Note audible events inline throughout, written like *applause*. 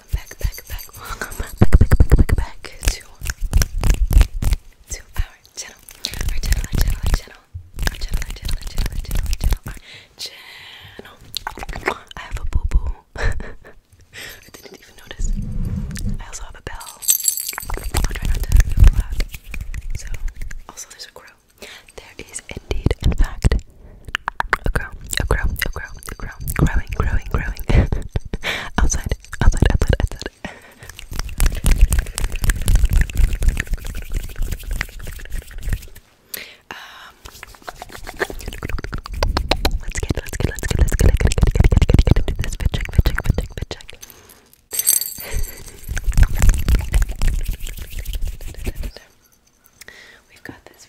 welcome back, back, back, back, back, back, back, back, to our channel, our channel, our channel, our channel, our channel, our channel, our channel, I have a boo boo. *laughs* I didn't even notice. I also have a bell. I'll try not to move loud. So, also there's a crow. There is indeed, in fact, a grow, a grow, a grow, a grow, growing, growing, growing. *laughs* outside, outside, outside, outside. um, let's get, let's get, let's get, let's get, let's get, get, get, get, get into this. Fit check, fit check, fit check, fit check. *laughs* We've got this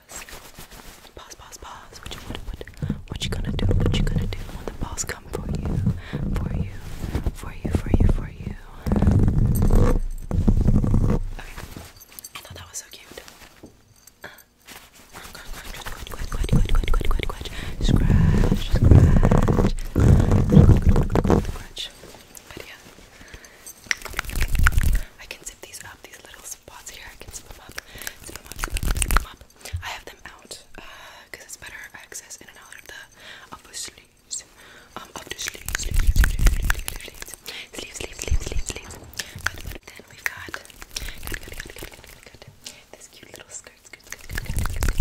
pause. Pause, pause, pause. What you what, what, what you gonna do? What you gonna do when the boss come for you? For you, for you, for you, for you. Okay. I thought that was so cute. Uh, Scratch, scratch, scratch. But yeah, I can zip these up, these little spots here. I can zip them up zip them up, zip them up, zip them up. I have them out because uh, it's better access in and out of the upper sleeves. Um, up the sleeves, sleeves, sleeves, sleeves, sleeves, sleeves, sleeves, sleeves, sleeves. But, but then we've got, got, got, got, got, got, got, got this cute little skirt, skirt, skirt, skirt, skirt, skirt, skirt. Skirt.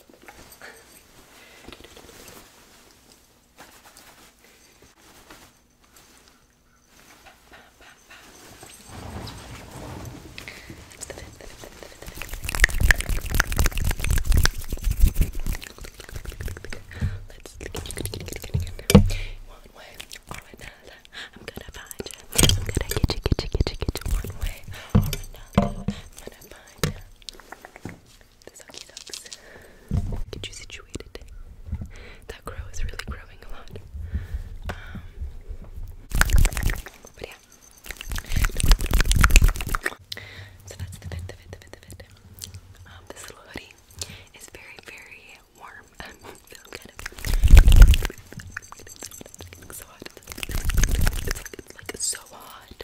That's the fifth, the fifth, the fifth, the fifth. Let's get you good, good, good, good, good. One way or another, I'm gonna find you. I'm gonna get you, get you, get you, get you. One way or another, I'm gonna find you. Get you situated. That grow is really growing a lot. Um, but yeah. So that's the fit, the fit, the fit, the fit. Um, this little hoodie is very, very warm. *laughs* so hot. it's like so hot.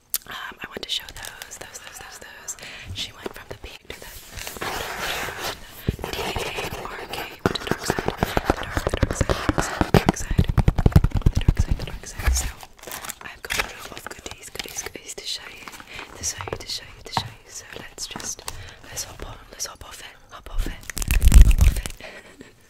um, I want to show those, those, those, those, those. She went from the peak to the, D A R K, which the dark side, the dark, the dark side, the dark side, the dark side, the dark side. So I've got a lot of goodies, goodies, goodies to show you, to show you, to show you, to show you. So let's just let's hop on, let's hop off it, hop off it, hop off it. *laughs*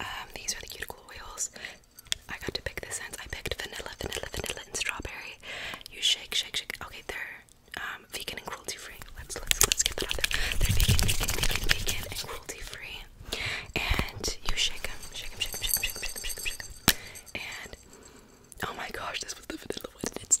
um, these are the cuticle oils. I got to pick the scents. I picked vanilla, vanilla, vanilla, and strawberry. You shake, shake, shake. Okay, they're um, vegan and cruelty free. Let's let's let's get that out there. They're vegan, vegan, vegan, vegan, and cruelty free. And you shake them, shake them, shake them, shake them, shake them, shake them, shake them, shake them. And oh my gosh, this was the vanilla one. It's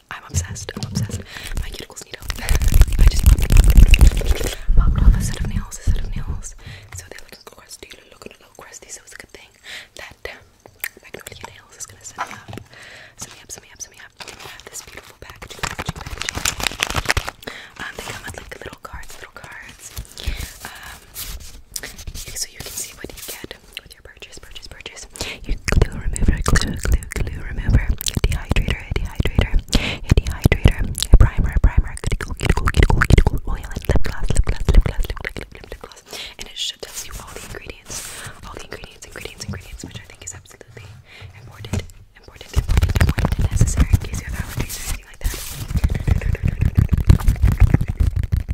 I'm obsessed. I'm obsessed. My cuticles need help. *laughs* I just popped, popped off a set of nails, a set of nails. So they're looking crusty, they're looking a little crusty. So it's a good thing that um, Magnolia Nails is gonna set me up. Set me up, set me up, set me up. I have this beautiful packaging, packaging, packaging. Um, they come with like little cards, little cards. Um, so you can see what you get with your purchase, purchase, purchase. Your glue remover, glue, glue, glue remover, dehydrator, a dehydrator, a dehydrator, a primer, a primer, oil and lip gloss, lip gloss, lip gloss, lip gloss, lip, lip, lip gloss, and it should tell you all the ingredients, all the ingredients, ingredients, ingredients, which I think is absolutely important, important, important, important, and necessary in case you have allergies or anything like that.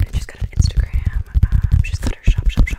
I just got an Instagram. Um, uh, she's got her shop, shop, shop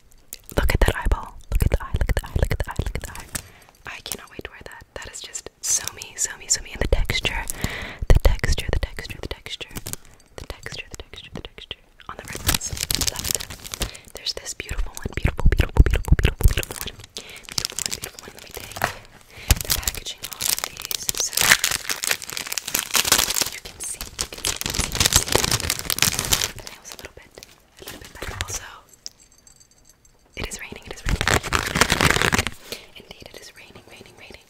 Look at that eyeball. Look at the eye, look at the eye, look at the eye, look at the eye. I cannot wait to wear that. That is just so me, so me, so me. And the texture, the texture, the texture, the texture, the texture, the texture, the texture. On the red ones. Left. There's this beautiful one. Beautiful, beautiful, beautiful, beautiful, beautiful one. Beautiful one, beautiful one. Let me take the packaging off of these. So you can see, you can see, you can see. The nails a little bit a little bit better also. It is raining, it is raining. Indeed, it is raining, raining, raining.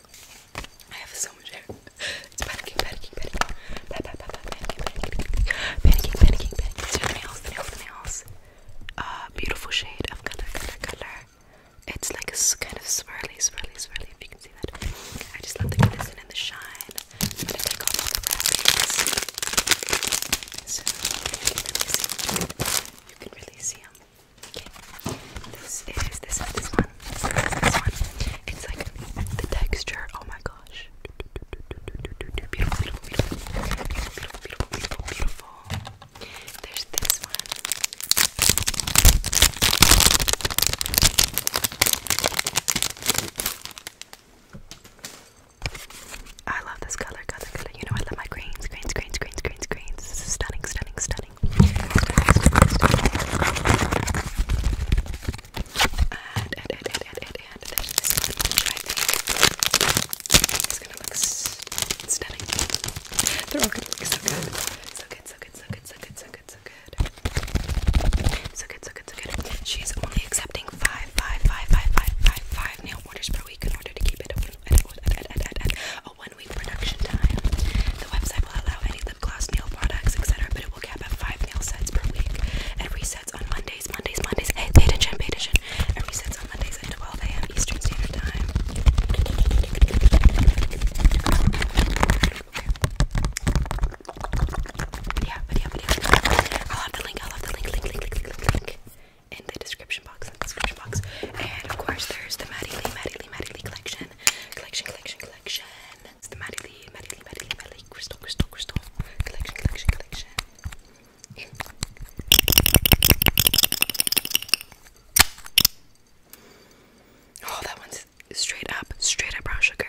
I have so much hair. It's panicking, panicking, panicking. Pa -pa -pa -pa, panicking, panicking, panicking, panicking, panicking. These are the nails, the nails, the nails. Uh, beautiful shade of color, color, color. It's like a kind of swirly, swirly, swirly, if you can see that. I just love the glisten and the shine. I'm gonna take off all the wrappings. you can really see them. Okay. This this one. this one. It's like the texture. Oh my gosh. Beautiful, beautiful, beautiful. Beautiful, beautiful, beautiful, beautiful. There's this one. I love this color, You know, I love my greens, greens, greens, greens, greens, greens. This is stunning, stunning, stunning. It's gonna look stunning. They're all gonna look so good. So good, so good, so good, so good, so good, so good. So She's only accepting five, five, five, five, five, five, five nail orders per week in order to keep it a one, week production time. The website will allow any lip gloss, nail products, etc., but it will cap at five nail sets per week. It resets on Mondays, Mondays, Mondays. Hey, pay attention, pay attention. It resets on Mondays at 12 a.m. Eastern Standard Time. Yeah, video, video. I'll have the link, I'll have the link, link, link, link, link, link in the description box, in the description box. And of course there's the Maddie Lee, Maddie Lee, Maddie Lee collection. Collection, collection, collection. It's the Maddie Lee, Maddie Lee, Maddie Lee, Maddie Lee, Crystal, Crystal, Crystal. Collection, collection, collection. Oh, that one's straight up, straight up brown sugar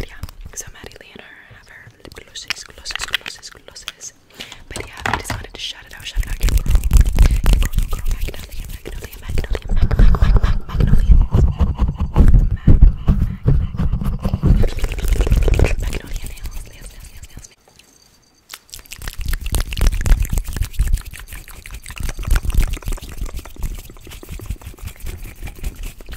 yeah, so Madeline have her closest, closest, closest, closest. But yeah, I decided to shout it out, shout it out, your girl. Your girl, your girl, Mag, Mag, Mag, Mag, Mag, Mag, Mag, Magnolia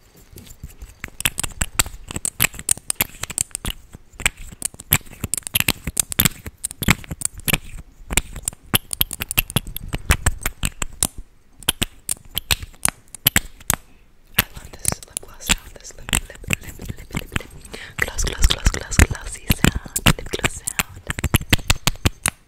I love this lip gloss sound, this lip, lip, lip, lip, lip, lip, lip gloss, gloss, gloss, gloss, glossy sound, lip gloss sound.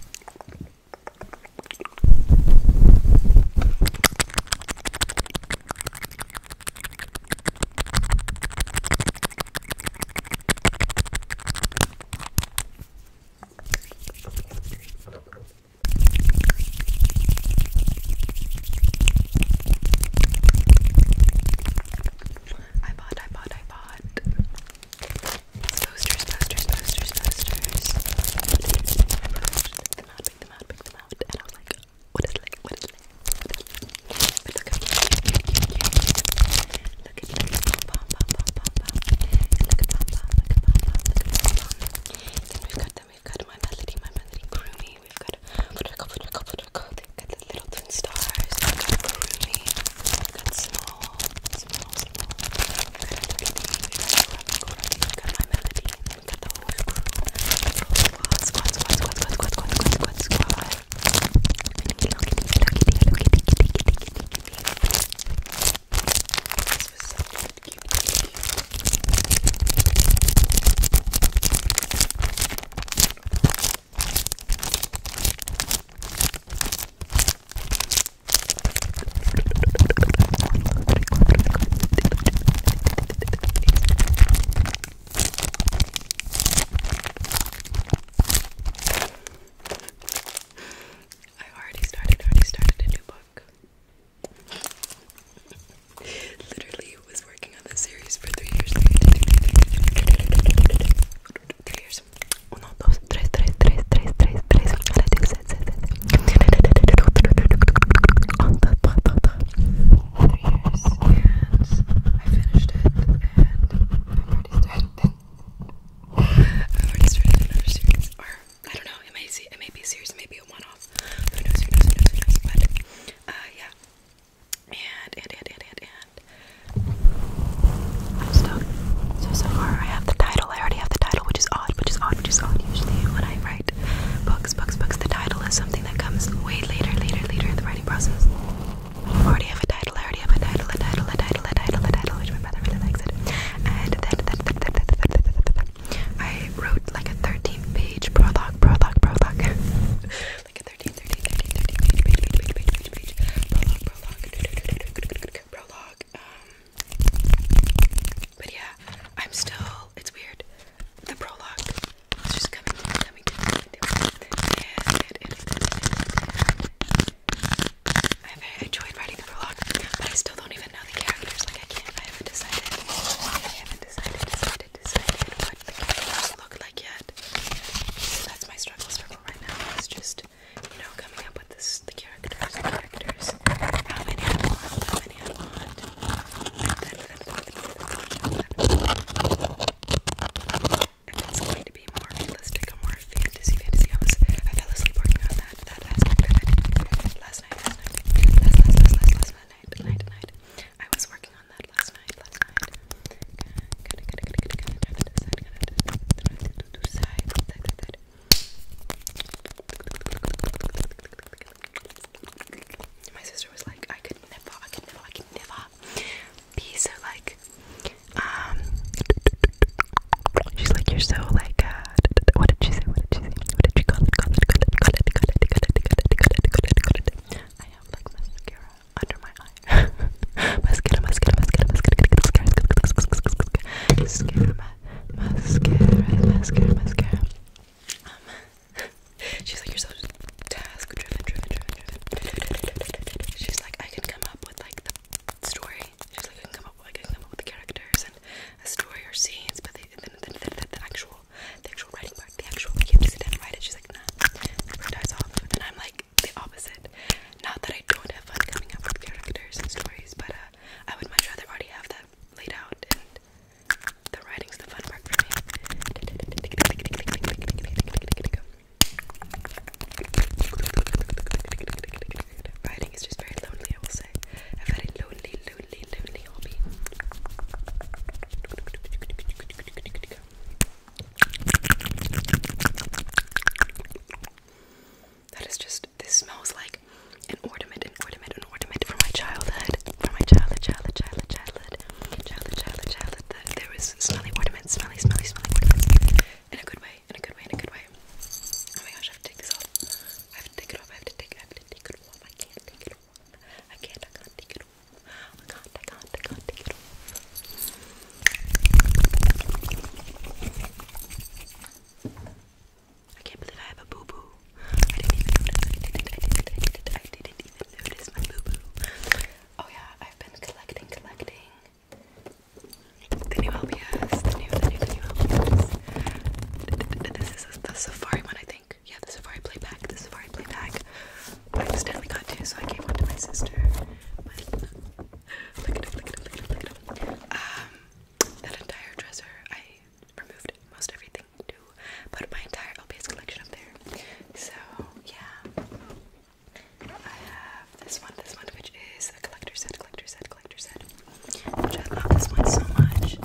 I bought, I bought, I bought Posters, posters, posters, posters. Pick them out, pick them out, pick them out. And I was like, what is it What is it like? What is it like? But look at you, you, you, you, you. Look at you. Pom, pom, pom, pom, pom. And look at pom, pom, look at pom, pom, look at pom, pom. Then we've got them, we've got my melody, my melody, Groomy. We've got Fudrico, Fudrico, Fudrico. They've got the little twin stars. We've got Groomy. We've got Snore small, small. Look at my melody. Look at the whole crew. Squad, squad, squad, squad, squad, squad, squad, squad, squad. This was so cute, cute, cute, cute. I already started, already started a new book. Literally was working on this series for three years. Three years, 3 1, 2, 3, 3, 3, 3, 3, 3 On and I finished it and I've already started I've already started another series or I don't know, it may, see, it may be a series, it may be a one-off who knows, who knows, who knows, who knows but uh, yeah and, and, and, and, and, I'm stuck. So, so far, I have the title. I already have the title, which is odd, which is odd, which is odd. Usually, when I write books, books, books, the title is something that comes way later, later, later in the writing process. I already have a title. I already have a title, a title, a title, a title, a title, which my brother really likes it. And then I wrote like a 13 page prologue, prologue, prologue. like a 13 30, 30, 30, page, page, page, page, page, page, page, prologue, prologue, prologue, um, but yeah, I'm still, it's weird, the prologue is just coming to me, coming to me, and, and, and, I very enjoyed writing the prologue, but I still don't even know the characters, like I can't, I haven't decided, I haven't decided, decided, decided what the characters look like yet, so that's my struggles for right now, it's just you know, coming up with the characters, the characters, how many I want, how many I want. And it's going to be more realistic, more fantasy, fantasy. I, was, I fell asleep working on that, that last night, last night, last, last, last, last, last, night, night, night. I was working on that last night, last night. My sister was like, I could never, I could never, I could never be so like, um, she's like, you're so like, uh, what did she say? What did she say? What did she call it. I have like mascara under my eye. *laughs* mascara, mascara, mascara, mascara, mascara, mascara, mascara, mascara, mascara. Um, *laughs* she's like, you're so task driven, driven, driven, driven. She's like, I can come up with like the story. She's like, I can come up with, I can come up with the characters and a story or scenes, but the, the, the, the, the, the actual, the actual writing part, the actual, like, you have to sit down and write it. She's like, nah, it dies off. And I'm like, like the opposite. Not that I don't have fun coming up with characters and stories, but uh, I would much rather already have that laid out, and the writing's the fun part for me. Writing is just very lonely, I will say. A very lonely, lonely, lonely hobby. That is just, this smells like an ornament, an ornament, an ornament from my childhood. From my childhood, childhood, childhood, childhood. Childhood, childhood, childhood. That there was smelly ornaments, smelly, smelly, smelly ornaments. In a good way, in a good way, in a good way. Oh my gosh, I have to take this off. I have to take it off, I have to take, I have to take it off. I can't take it off. I can't, I can't take it off. I can't, I can't, I can't take it off. I can't believe I have a boo boo. I didn't even notice. I did my boo boo. Oh, yeah, I've been collecting, collecting the new LPS. This is the Safari one, I think. Yeah, the Safari play pack. The Safari play pack. I accidentally got two, so I gave one to my sister look at it, look at it, look at it, look at it. Um, that entire dresser, I removed most everything to put my entire LPS collection up there. So, yeah. I have this one, this one, which is a collector set, collector set, collector set. Which I love this one so much.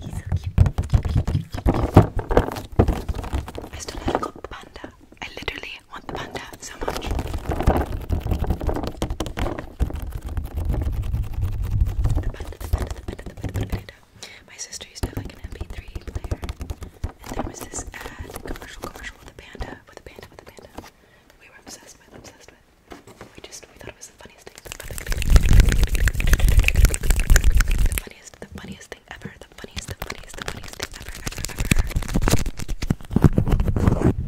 He's so cute. cute, cute, cute, I still have not got the panda. I literally I want the panda so much. My sister used to like an MP3 player, and there was this ad, commercial, commercial with a panda, with a panda, with a panda. we were obsessed with, obsessed with. We just, we thought it was the funniest thing. The funniest, the funniest, ever. The funniest, the funniest, the funniest thing ever, ever, ever. Look at, her, look at her, look at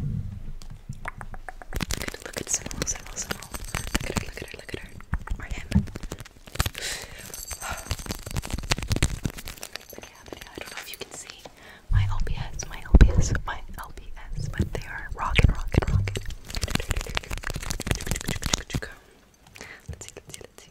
her. Or him. *sighs* yeah, yeah, I don't know if you can see my LPS, my LPS, my LPS, but they are rockin', rockin', rockin'. Let's see, let's see, let's see.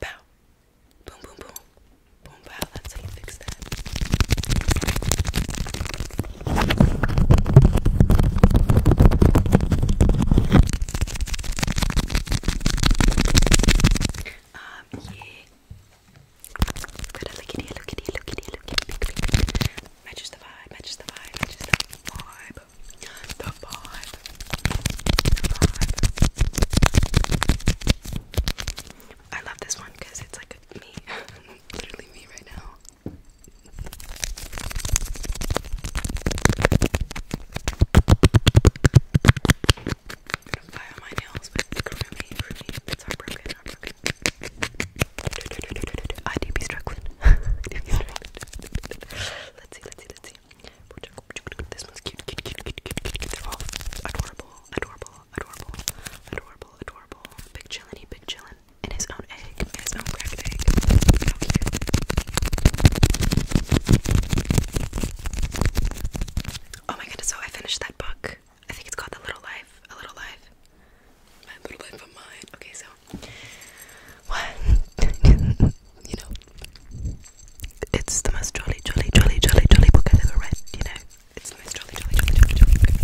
Bow. Boom, boom, boom. Boom, bow. That's how you fix that. Um, yeah. Good, look at here, look at here, look at here, look at here. Matches the vibe, matches the vibe, matches the vibe the vibe, I love this one because it's like me, *laughs* literally me right now. I'm gonna file my nails, but really, really, it's heartbroken, heartbroken. I do be struggling. *laughs* I do be *laughs* Let's see, let's see, let's see. This one's cute, oh, adorable, adorable, adorable, adorable, adorable. Big chillin', he big chillin'. In his own egg, in his own cracked egg. How Oh my goodness, so I finished that book. I think it's called The Little Life. A Little Life. My little life of mine. Okay, so one you know, it's the most jolly, jolly, jolly, jolly, jolly book ever read, you know. It's the most jolly, jolly, jolly, jolly, jolly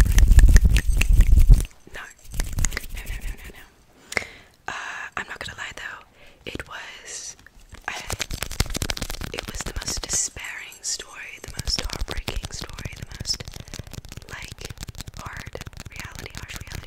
No. No, no, no, no, no. Uh, I'm not gonna lie though, it was, uh, it was the most despairing story, the most heartbreaking story, the most, like, hard reality, harsh reality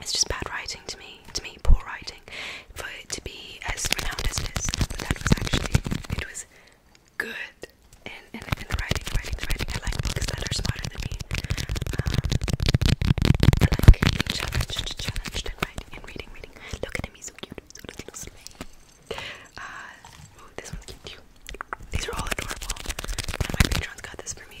It's just bad writing to me, to me, poor writing, for it to be as renowned as it is. But that was actually, it was good And and and the writing, writing, the writing. I like books that are smarter than me. Um, I like challenged, challenged in, writing, in reading, reading. Look at him, he's so cute. So uh, ooh, this one's cute too. These are all adorable. my patrons got this for me.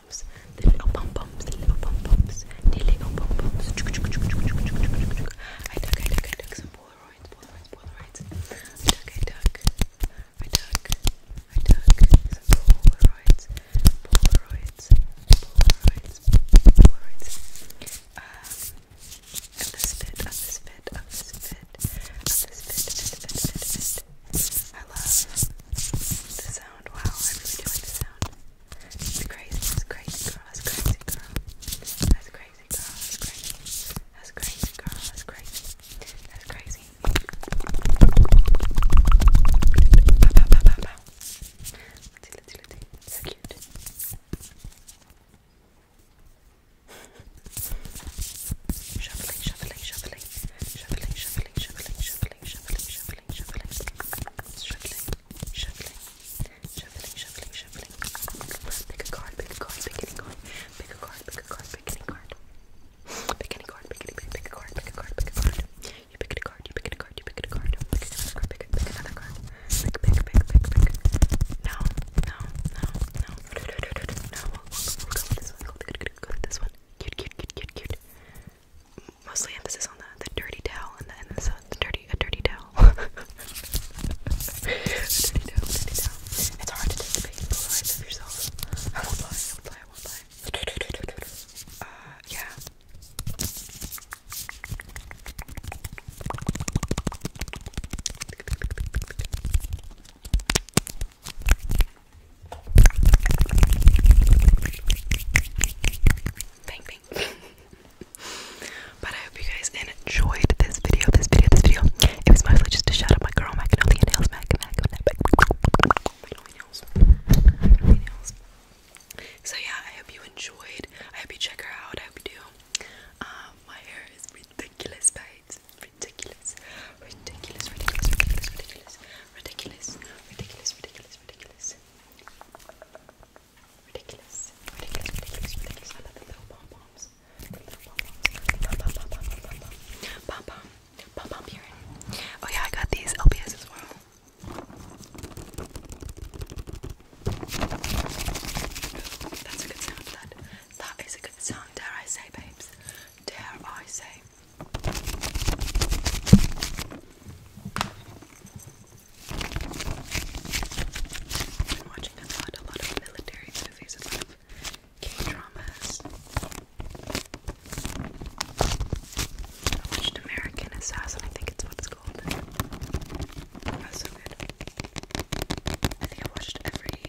bumps, the little bump bumps, the little bump bumps, the little bump bumps. I took, I took, I took some Polaroids, Polaroids, Polaroids. I took, I took, I took, I took some Polaroids, Polaroids, Polaroids, Polaroids. Um, of this fit, of this fit, of this fit, of this fit, fit, fit, fit, fit. I love the sound. Wow, I really do like the sound. That's crazy, that's crazy girl, that's crazy girl. That's crazy girl, that's crazy. That's crazy girl, that's crazy. That's crazy. Bow, bow, bow, bow, bow. Let's see, let's see, let's see. So cute. Shuffling, shuffling, shuffling, shuffling, shuffling, shuffling, shuffling, shuffling, shuffling, shuffling, shuffling, shuffling, shuffling, shuffling, shuffling, shuffling, shuffling. Pick a card, pick a card, pick any card, pick a card, pick a card, pick any card. Pick any card, pick any pick, pick a card, pick a card, pick a card. You pick a card, you pick a card, you pick a card, pick another card, pick, pick another card. Pick, pick, pick, pick, pick. No, no, no, no. No, we'll go with this one, go with this one. Cute, cute, cute, cute, cute mostly emphasis on the, the dirty towel and the, and the, dirty *laughs* a dirty towel. It's hard to take the pain of yourself. *laughs* I won't lie, I won't lie, I won't lie. Uh, yeah bang bang. but I hope you guys enjoyed this video, this video, this video. It was mostly just a shout out my girl Mac and all the Nails Mac Mac Mac Nails. Nails. So yeah, I hope you enjoyed. I hope you check her out. I hope you do. Um, my hair is ridiculous, guys. Ridiculous. Ridiculous, ridiculous, ridiculous, ridiculous, ridiculous, ridiculous, ridiculous, ridiculous. Ridiculous. Ridiculous, ridiculous, ridiculous. I love the little pom poms. pom Pom pom pom Oh, yeah, I got these LPS as well. That's a good sound. that is a good sound. Dare I say, babes? Dare I say? I've been watching a lot, a lot of military movies, a lot of k I watched American Assassin, I think it's what it's called. I think I watched every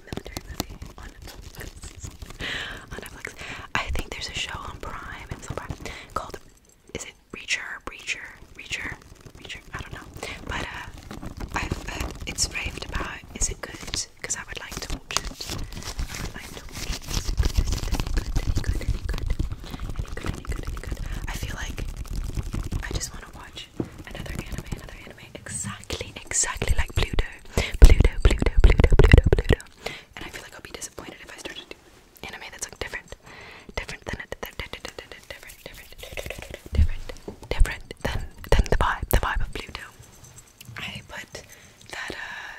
military movie on Netflix. *laughs* on Netflix. I think there's a show on Prime, it's on Prime, called is it Reacher, Breacher, Reacher, Reacher? I don't know. But uh, I've uh, it's raved about. Is it good? Because I would like to watch it. I would like it. Is it good? any good? Any good? Any good? Any good? Any good? Any good? I feel like I just want to watch another anime, another anime, exactly, exactly like Pluto, Pluto, Pluto, Pluto, Pluto, Pluto. And I feel like I'll be disappointed if I start to do anime that's like different, different than it, different, different, different, different than than the vibe, the vibe of Pluto. I put that uh,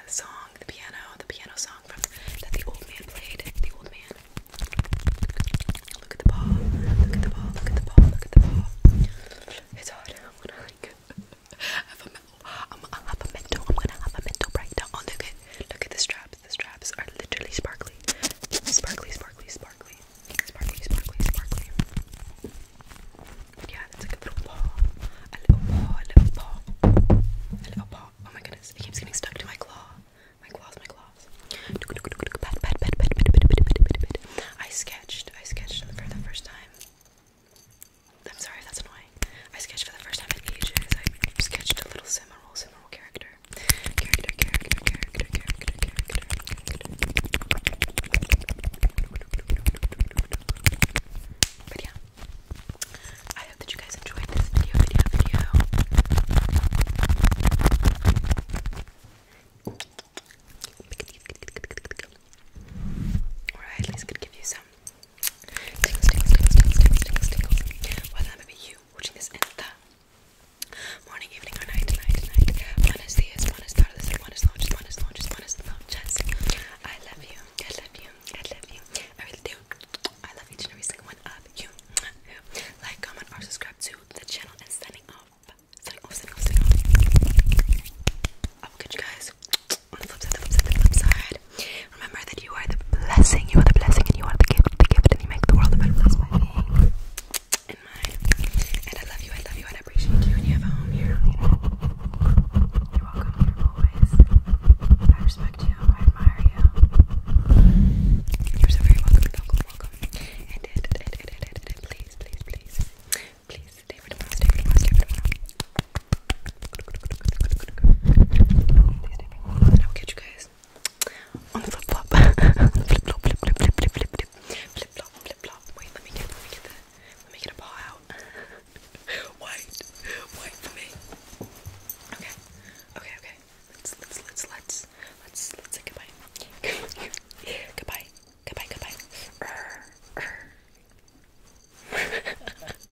song, the piano, the piano song from that the old man played. The old man. Look at the ball. Look at the ball. Look at the ball. Look at the ball. It's hard. I want to like. *laughs* i I'm, I'll have a mental, I'm gonna have a mental breakdown. Oh, look at, look at the straps. The straps are literally sparkly. Sparkly, sparkly, sparkly. Sparkly, sparkly, sparkly. Yeah, that's like a little paw. A little paw, a little paw. A little paw. Oh my goodness, it keeps getting stuck to my claw. My claws, my claws. I sketched. I sketched for the first time. I'm sorry if that's annoying. I sketched for the first time in ages. I sketched a little Simmerol, Simmerol character. Character, character, character, character, character, character. But yeah. I hope that you guys enjoyed this video, video, video. Or I at least could give you some Tingles, tingles, tingles, tingles, you watching this in the morning, evening, or night, night, night. Buenos dias, buenas tardes, buenas noches, buenas noches, buenas noches. I love you, I love you, I love you. I really do. I love each and every single one of you. Like, comment, or subscribe to the channel and signing off. Signing off, signing off, I will catch you guys on the flip side, the flip side, the flip side. Remember that you are the blessing, you are the blessing, and you are the gift, the gift, and you make the world a better place by me and mine. And I love you, I love you, and I appreciate you, and you have a home here. You know? You're welcome here always. I respect you, I admire you. You're so very welcome, welcome, welcome. And it, it, it, it, it, it, it. please, please, please, please stay for tomorrow, stay for tomorrow, stay for tomorrow. I'll catch you guys on the flip flop. *laughs* flip flop, flip flip flip flip flip flip flip flop, flip flop. Wait, let me get, let me get the, let me get a paw out. *laughs* wait, wait for me. Okay, okay, okay. Let's let's let's let's let's say *laughs* goodbye. goodbye, goodbye, goodbye. Er,